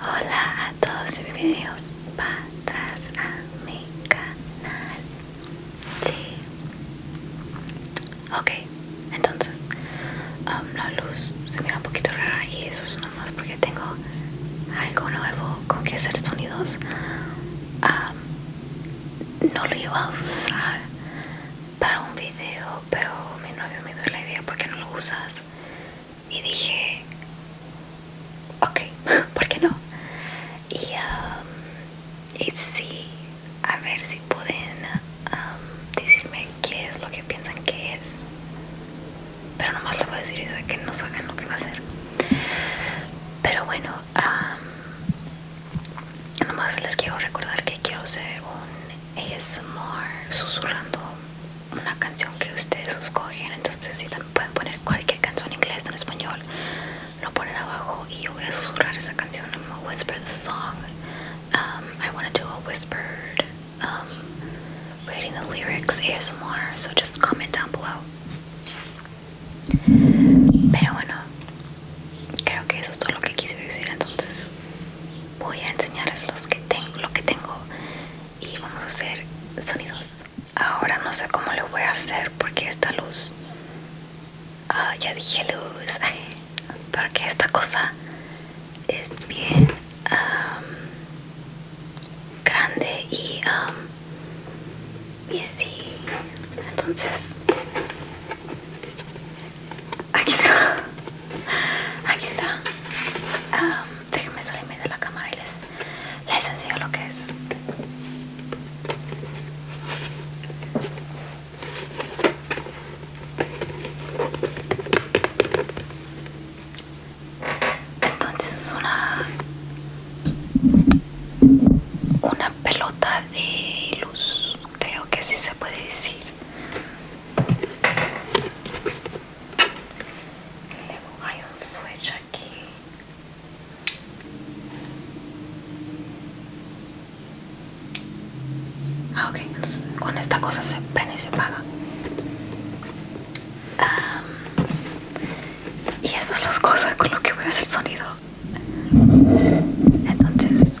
Hola a todos y bienvenidos para atrás a mi canal. Sí. Ok, entonces um, la luz se mira un poquito rara y eso es porque tengo algo nuevo con que hacer sonidos no lo iba a usar para un video pero mi novio me dio la idea porque no lo usas y dije ok ¿por qué no? y, a ver si pueden decirme qué es lo que piensan que es pero nomás lo voy a decir de que no saben lo que va a hacer pero bueno no nomás les quiero recordar que quiero hacer un ASMR susurrando una canción que ustedes escogen entonces si también pueden poner cualquier canción en inglés o en español lo ponen abajo y yo voy a susurrar esa canción I'm whisper the song um, I want to do a whispered um, reading the lyrics ASMR, so just comment down below. Pero bueno, creo que eso es todo lo que quise decir, entonces voy a enseñarles los que tengo, lo que tengo y vamos a hacer sonidos. Ahora no sé cómo lo voy a hacer porque esta luz... Ah, ya dije luz. porque esta cosa es bien Um, grande y, um, y sí, entonces aquí está, aquí está. Um, déjenme salirme de la cámara y les, les enseño lo que es entonces es una una pelota de luz creo que sí se puede decir hay un switch aquí ah, ok, con esta cosa se prende y se apaga y esas son las cosas con lo que voy a hacer sonido. Entonces...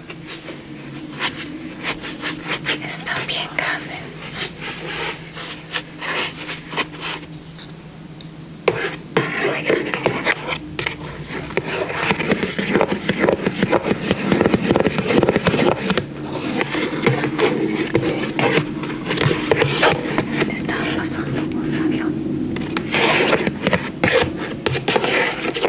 está bien grandes. Estaba pasando por un avión.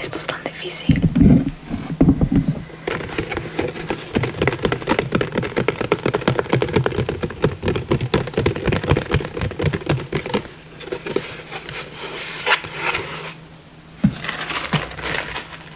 Esto es tan difícil.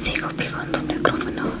Sigo pegando un micrófono.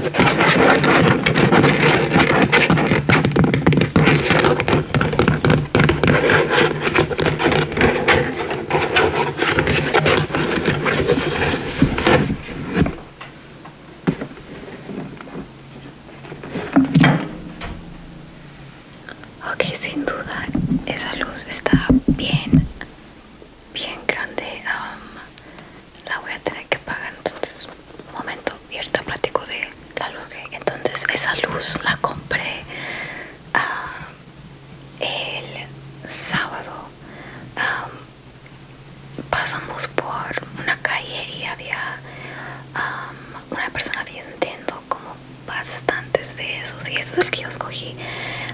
Ok, sin duda esa luz está bien bien grande la voy a tener que pagar entonces un momento y ahorita platico de la luz entonces esa luz la compré ah, el sábado pasamos por una calle y había una persona vendiendo como bastantes de esos y ese es el que yo escogí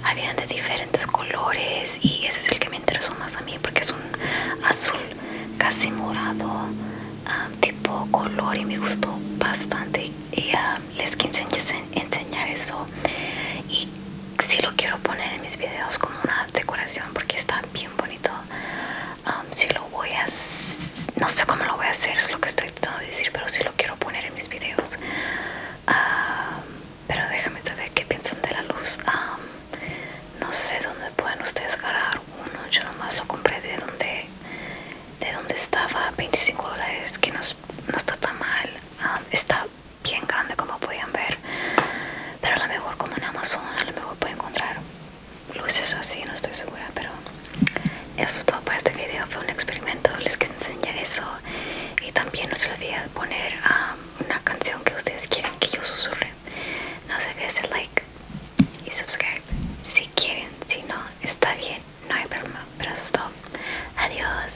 habían de diferentes colores y ese es el que me interesó más a mí porque es un azul casi morado ah, tipo color y me gustó bastante y ah, les quiero enseñar eso y si lo quiero poner en mis videos como una decoración porque está bien bonito um, si lo voy a no sé cómo lo voy a hacer es lo que estoy tratando de decir pero si lo quiero poner en mis videos Ah, pero déjame saber qué piensan de la luz. Ah, no sé dónde pueden ustedes agarrar uno. Yo nomás lo compré de donde, de dónde estaba, 25 dólares, que no, no está tan mal. Ah, está bien grande como podían ver. Pero a lo mejor como en Amazon, a lo mejor pueden encontrar luces así, no estoy segura. Pero eso es todo para este video. Fue un experimento, les que enseñar eso. Y también no se olviden poner una canción que ustedes quieran que yo susurre. No se olviden like y subscribe si quieren. Si no, está bien, no hay problema. Pero eso Adiós.